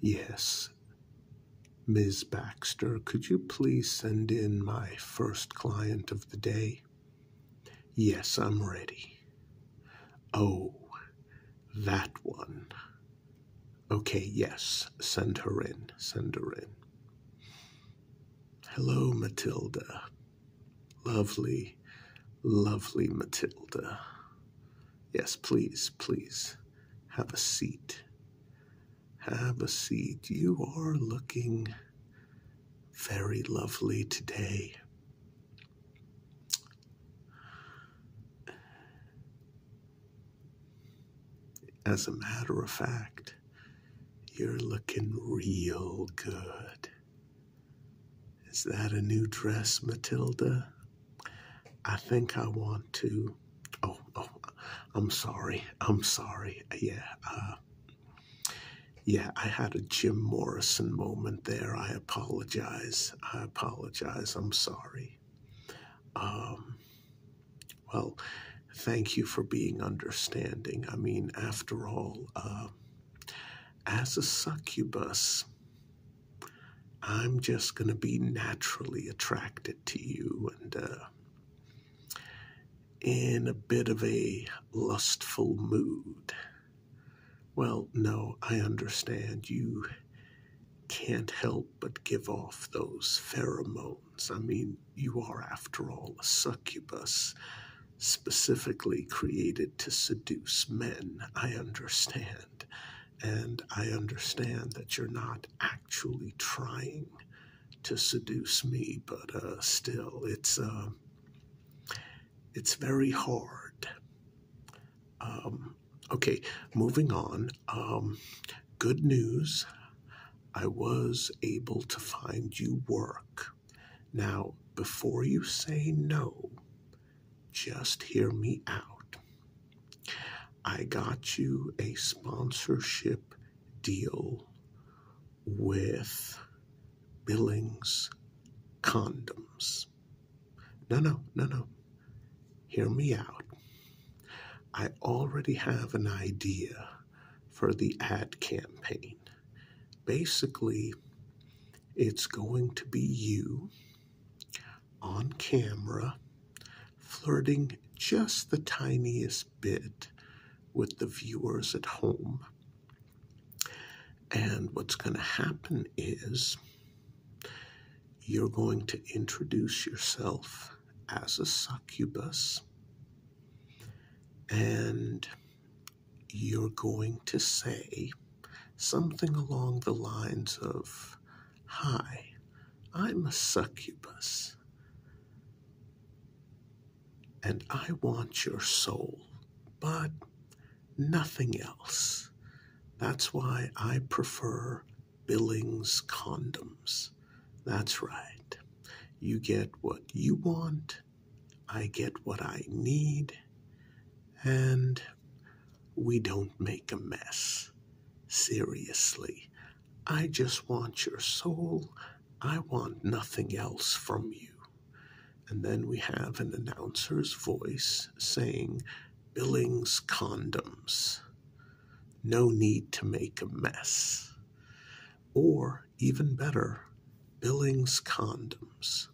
Yes. Miss Baxter, could you please send in my first client of the day? Yes, I'm ready. Oh, that one. Okay, yes, send her in, send her in. Hello, Matilda. Lovely, lovely Matilda. Yes, please, please, have a seat. Have a seat. You are looking very lovely today. As a matter of fact, you're looking real good. Is that a new dress, Matilda? I think I want to. Oh, oh, I'm sorry. I'm sorry. Yeah. Uh, yeah, I had a Jim Morrison moment there. I apologize. I apologize. I'm sorry. Um, well, thank you for being understanding. I mean, after all, uh, as a succubus, I'm just going to be naturally attracted to you and uh, in a bit of a lustful mood. Well, no, I understand you can't help but give off those pheromones. I mean, you are, after all, a succubus specifically created to seduce men. I understand. And I understand that you're not actually trying to seduce me, but uh, still, it's um, it's very hard. Um, okay, moving on. Um, good news. I was able to find you work now, before you say no, just hear me out. I got you a sponsorship deal with Billings Condoms. No, no, no, no. Hear me out. I already have an idea for the ad campaign. Basically, it's going to be you on camera flirting just the tiniest bit with the viewers at home. And what's going to happen is you're going to introduce yourself as a succubus. And you're going to say something along the lines of, Hi, I'm a succubus, and I want your soul, but nothing else. That's why I prefer Billings condoms. That's right. You get what you want I get what I need, and we don't make a mess. Seriously, I just want your soul. I want nothing else from you. And then we have an announcer's voice saying, Billings condoms. No need to make a mess. Or even better, Billings condoms.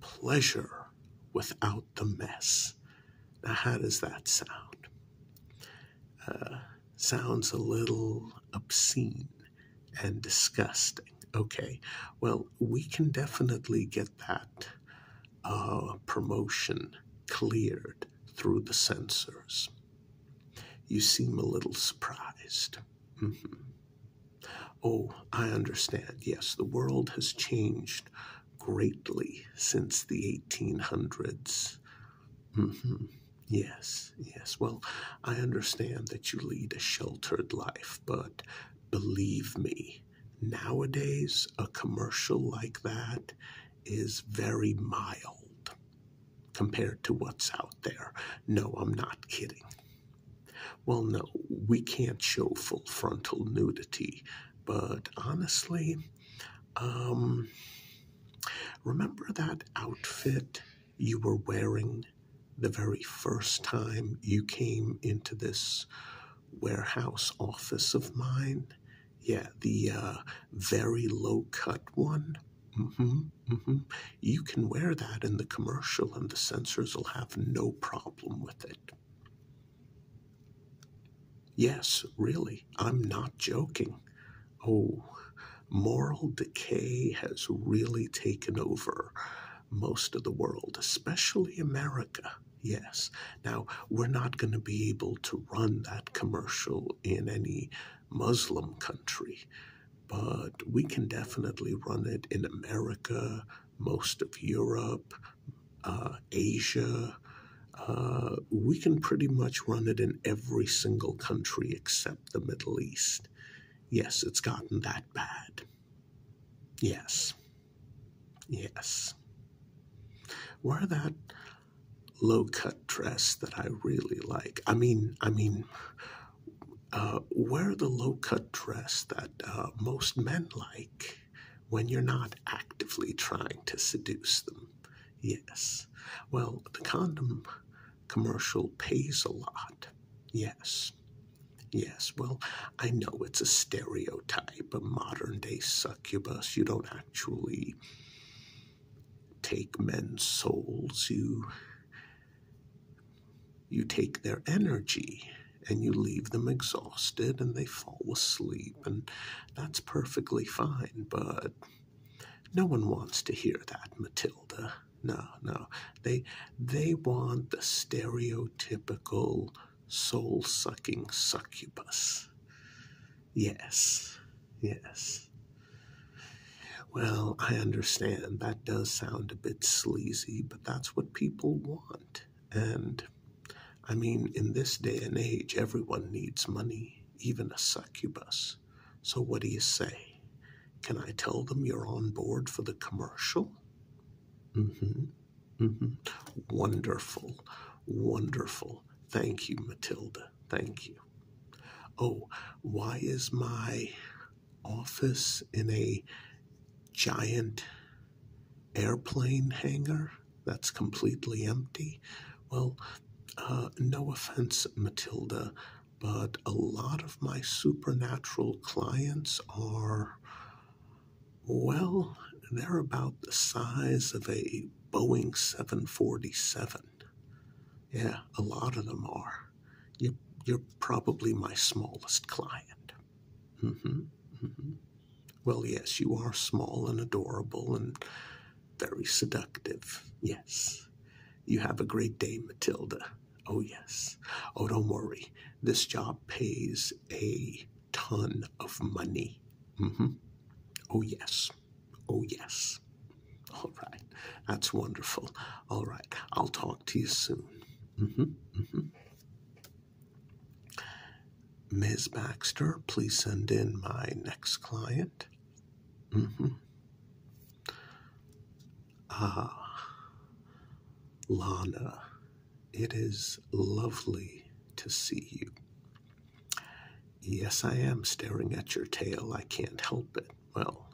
Pleasure without the mess. Now, how does that sound? Uh, sounds a little obscene and disgusting. Okay, well, we can definitely get that uh, promotion cleared through the censors. You seem a little surprised. Mm-hmm. Oh, I understand. Yes, the world has changed greatly since the 1800s. Mm-hmm. Yes, yes. Well, I understand that you lead a sheltered life, but believe me, nowadays a commercial like that is very mild compared to what's out there. No, I'm not kidding. Well, no, we can't show full frontal nudity, but honestly, um, remember that outfit you were wearing the very first time you came into this warehouse office of mine? Yeah, the uh, very low cut one. Mm-hmm. Mm-hmm. You can wear that in the commercial, and the sensors will have no problem with it. Yes, really, I'm not joking. Oh, moral decay has really taken over most of the world, especially America. Yes. Now, we're not going to be able to run that commercial in any Muslim country but we can definitely run it in America, most of Europe, uh, Asia. Uh, we can pretty much run it in every single country except the Middle East. Yes, it's gotten that bad. Yes. Yes. Wear that low cut dress that I really like. I mean, I mean, uh, wear the low cut dress that uh, most men like when you're not actively trying to seduce them. Yes. Well, the condom commercial pays a lot. Yes. Yes, well, I know it's a stereotype, a modern day succubus. You don't actually take men's souls, you you take their energy and you leave them exhausted and they fall asleep, and that's perfectly fine, but no one wants to hear that, Matilda. No, no. They they want the stereotypical soul sucking succubus. Yes, yes. Well, I understand that does sound a bit sleazy, but that's what people want. And I mean, in this day and age, everyone needs money, even a succubus. So, what do you say? Can I tell them you're on board for the commercial? Mm hmm. Mm hmm. Wonderful. Wonderful. Thank you, Matilda. Thank you. Oh, why is my office in a giant airplane hangar that's completely empty? Well, uh, no offense, Matilda, but a lot of my supernatural clients are, well, they're about the size of a Boeing 747. Yeah, a lot of them are you, are probably my smallest client. Mm-hmm, mm-hmm. Well, yes, you are small and adorable and very seductive. Yes. You have a great day, Matilda. Oh, yes. Oh, don't worry. This job pays a ton of money. Mm-hmm. Oh, yes. Oh, yes. All right. That's wonderful. All right. I'll talk to you soon. Mm-hmm. Mm-hmm. Ms. Baxter, please send in my next client. Mm-hmm. Ah, Lana, it is lovely to see you. Yes, I am staring at your tail. I can't help it well,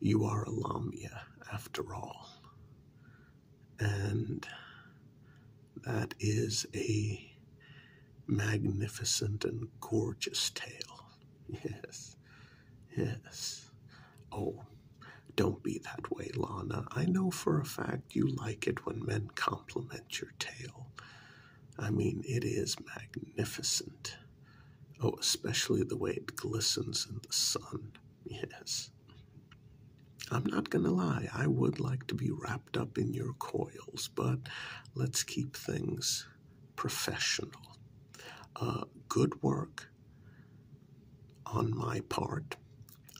you are a Lamia after all. And that is a magnificent and gorgeous tale. Yes, yes. Oh, don't be that way, Lana. I know for a fact you like it when men compliment your tale. I mean, it is magnificent. Oh, especially the way it glistens in the sun. Yes. I'm not going to lie, I would like to be wrapped up in your coils, but let's keep things professional. Uh, good work on my part.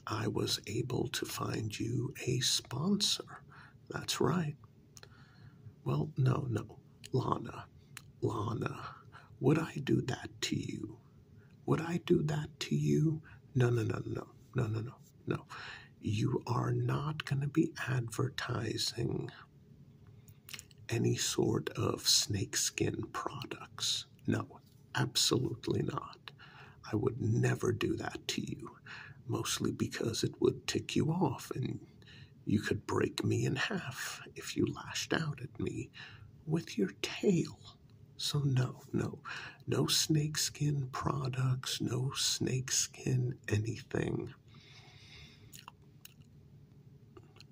I was able to find you a sponsor. That's right. Well, no, no. Lana, Lana, would I do that to you? Would I do that to you? No, no, no, no, no, no, no, no. You are not going to be advertising any sort of snakeskin products. No, absolutely not. I would never do that to you, mostly because it would tick you off and you could break me in half if you lashed out at me with your tail. So, no, no, no snakeskin products, no snakeskin anything.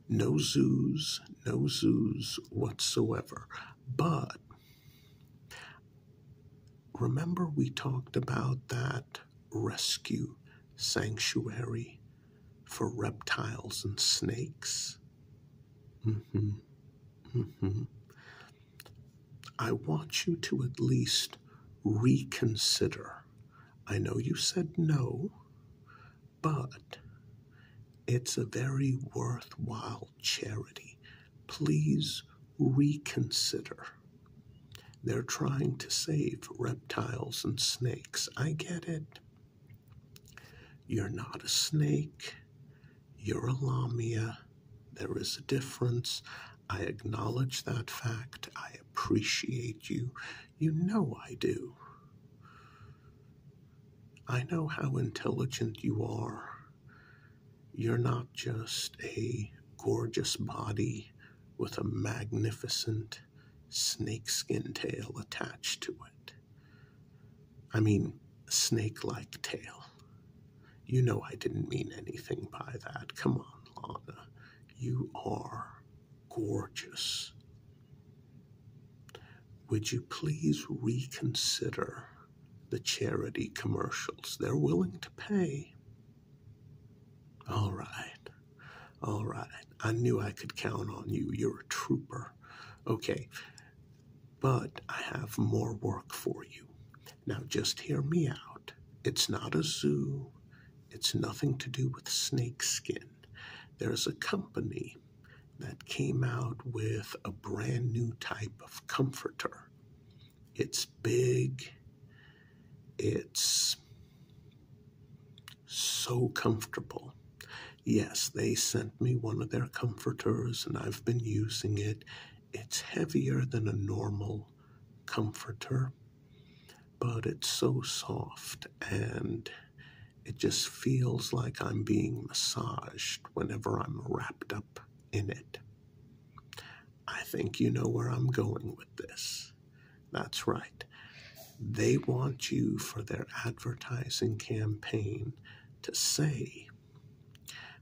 No zoos, no zoos whatsoever. But remember, we talked about that rescue sanctuary for reptiles and snakes. hmm hmm I want you to at least reconsider. I know you said no, but it's a very worthwhile charity. Please reconsider. They're trying to save reptiles and snakes. I get it. You're not a snake. You're a lamia. There is a difference. I acknowledge that fact. I appreciate you. You know I do. I know how intelligent you are. You're not just a gorgeous body with a magnificent snake skin tail attached to it. I mean, snake like tail. You know I didn't mean anything by that. Come on, Lana. You are gorgeous. Would you please reconsider the charity commercials? They're willing to pay, all right. All right. I knew I could count on you. You're a trooper. Okay. But I have more work for you. Now just hear me out. It's not a zoo. It's nothing to do with snakeskin. There's a company that came out with a brand new type of comforter. It's big. It's so comfortable. Yes, they sent me one of their comforters and I've been using it. It's heavier than a normal comforter, but it's so soft and it just feels like I'm being massaged whenever I'm wrapped up in it. I think you know where I'm going with this. That's right. They want you for their advertising campaign to say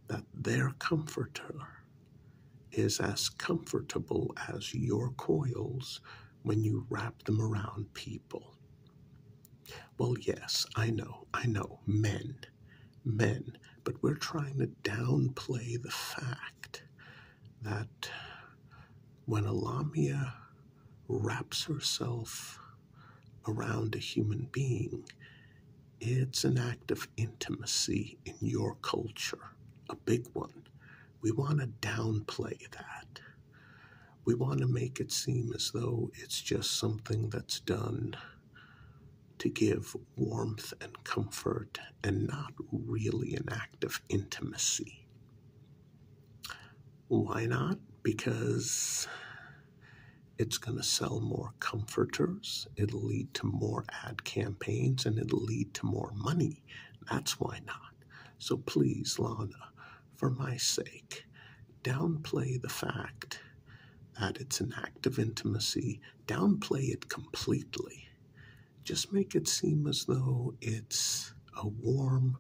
that their comforter is as comfortable as your coils when you wrap them around people. Well, yes, I know, I know, men, men, but we're trying to downplay the fact that when a lamia wraps herself around a human being, it's an act of intimacy in your culture, a big one. We want to downplay that. We want to make it seem as though it's just something that's done to give warmth and comfort and not really an act of intimacy. Why not? Because it's going to sell more comforters, it'll lead to more ad campaigns, and it'll lead to more money. That's why not. So please, Lana, for my sake, downplay the fact that it's an act of intimacy, downplay it completely, just make it seem as though it's a warm,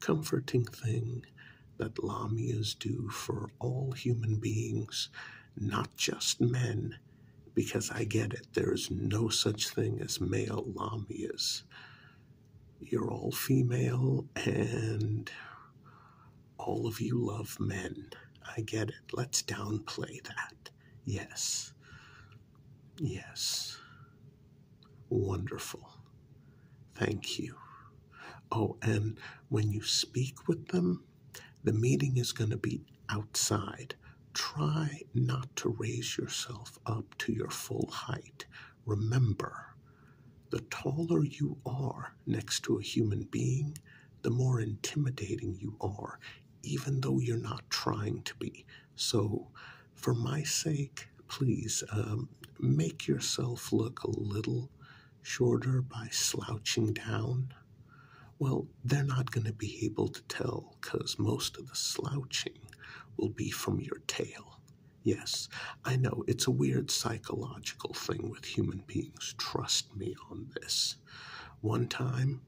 comforting thing that lamias do for all human beings, not just men, because I get it, there is no such thing as male lamias. You're all female, and all of you love men. I get it. Let's downplay that. Yes. Yes. Wonderful. Thank you. Oh, and when you speak with them, the meeting is going to be outside. Try not to raise yourself up to your full height. Remember, the taller you are next to a human being, the more intimidating you are even though you're not trying to be. So, for my sake, please um, make yourself look a little shorter by slouching down. Well, they're not going to be able to tell because most of the slouching will be from your tail. Yes, I know it's a weird psychological thing with human beings. Trust me on this. One time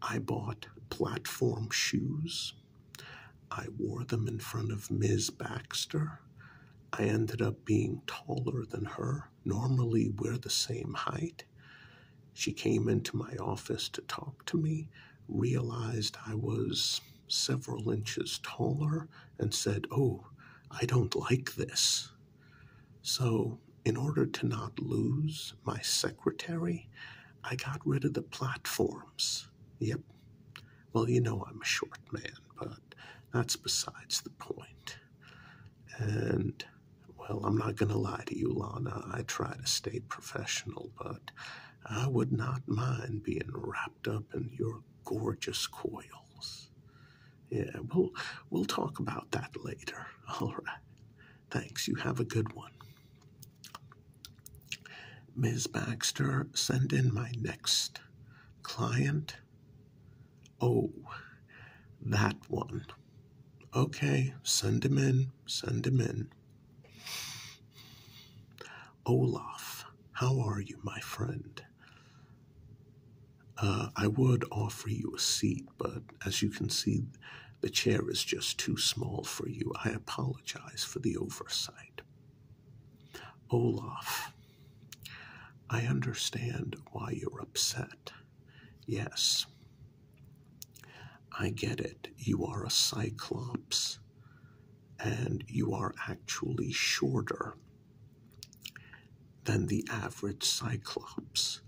I bought platform shoes. I wore them in front of Ms. Baxter. I ended up being taller than her. Normally, we're the same height. She came into my office to talk to me, realized I was several inches taller, and said, Oh, I don't like this. So in order to not lose my secretary, I got rid of the platforms. Yep. Well, you know I'm a short man, but that's besides the point. And, well, I'm not going to lie to you, Lana. I try to stay professional, but I would not mind being wrapped up in your gorgeous coils. Yeah, we'll, we'll talk about that later. All right. Thanks, you have a good one. Ms. Baxter, send in my next client. Oh, that one. Okay, send him in, send him in. Olaf, how are you, my friend? Uh, I would offer you a seat but as you can see, the chair is just too small for you. I apologize for the oversight. Olaf, I understand why you're upset. Yes, I get it. You are a cyclops, and you are actually shorter than the average cyclops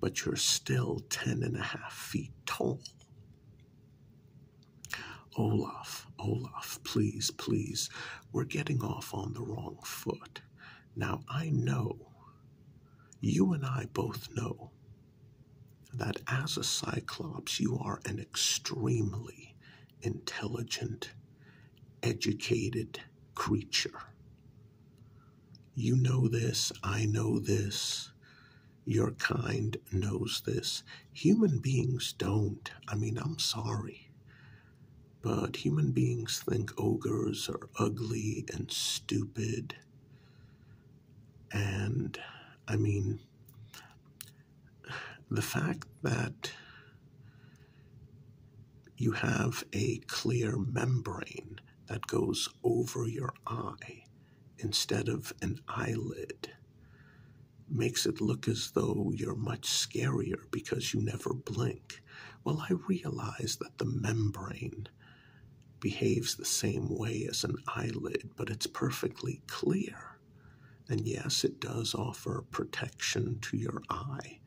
but you're still ten and a half feet tall. Olaf, Olaf, please, please, we're getting off on the wrong foot. Now, I know, you and I both know, that as a Cyclops, you are an extremely intelligent, educated creature. You know this, I know this, your kind knows this. Human beings don't. I mean, I'm sorry. But human beings think ogres are ugly and stupid. And I mean, the fact that you have a clear membrane that goes over your eye instead of an eyelid makes it look as though you're much scarier because you never blink. Well, I realize that the membrane behaves the same way as an eyelid, but it's perfectly clear. And yes, it does offer protection to your eye,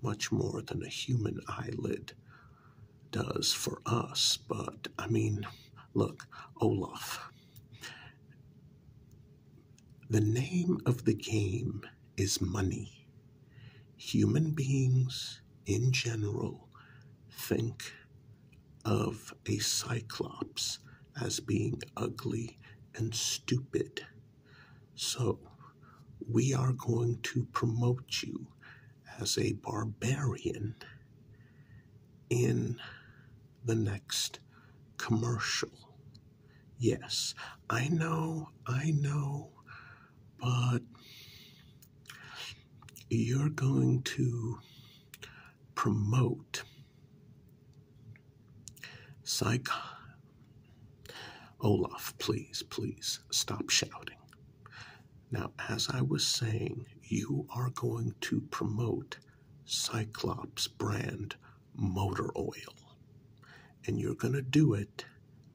much more than a human eyelid does for us. But I mean, look, Olaf. The name of the game is money. Human beings in general think of a cyclops as being ugly and stupid. So, we are going to promote you as a barbarian in the next commercial. Yes, I know, I know, but you're going to promote psych. Olaf, please, please stop shouting. Now, as I was saying, you are going to promote Cyclops brand motor oil, and you're going to do it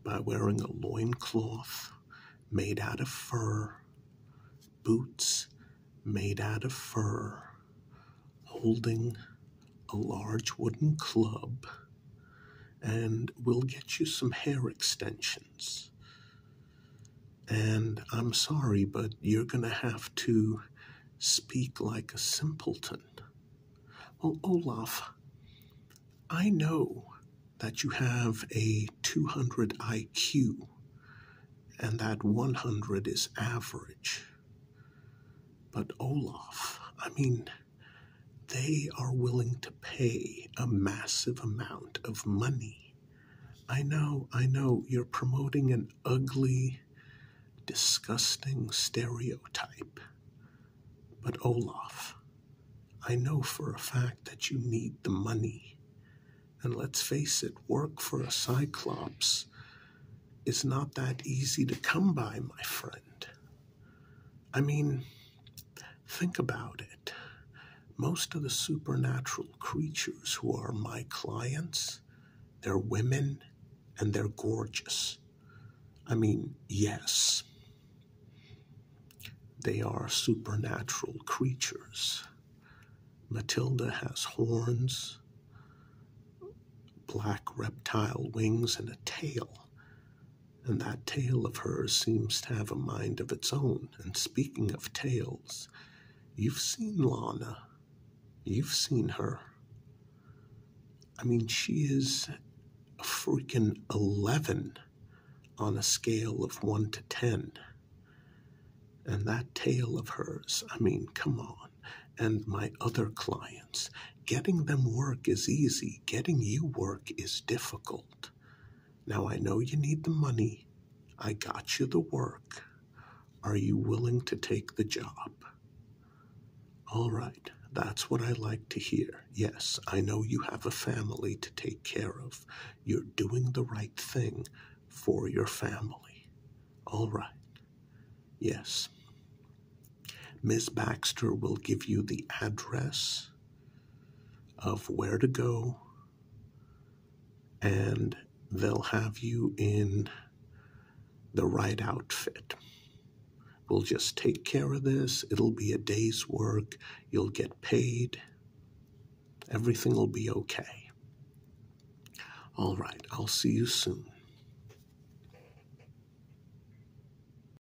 by wearing a loincloth made out of fur, boots made out of fur, holding a large wooden club and we'll get you some hair extensions. And I'm sorry, but you're going to have to speak like a simpleton. Well, Olaf, I know that you have a 200 IQ and that 100 is average. But Olaf, I mean, they are willing to pay a massive amount of money. I know, I know, you're promoting an ugly, disgusting stereotype. But Olaf, I know for a fact that you need the money. And let's face it, work for a Cyclops is not that easy to come by, my friend. I mean, Think about it. Most of the supernatural creatures who are my clients, they're women and they're gorgeous. I mean, yes, they are supernatural creatures. Matilda has horns, black reptile wings, and a tail. And that tale of hers seems to have a mind of its own. And speaking of tales, you've seen Lana. You've seen her. I mean, she is a freaking 11 on a scale of 1 to 10. And that tale of hers, I mean, come on. And my other clients, getting them work is easy, getting you work is difficult. Now I know you need the money. I got you the work. Are you willing to take the job? All right, that's what I like to hear. Yes, I know you have a family to take care of. You're doing the right thing for your family. All right. Yes. Ms. Baxter will give you the address of where to go, and they'll have you in the right outfit. We'll just take care of this. It'll be a day's work. You'll get paid. Everything will be okay. All right, I'll see you soon.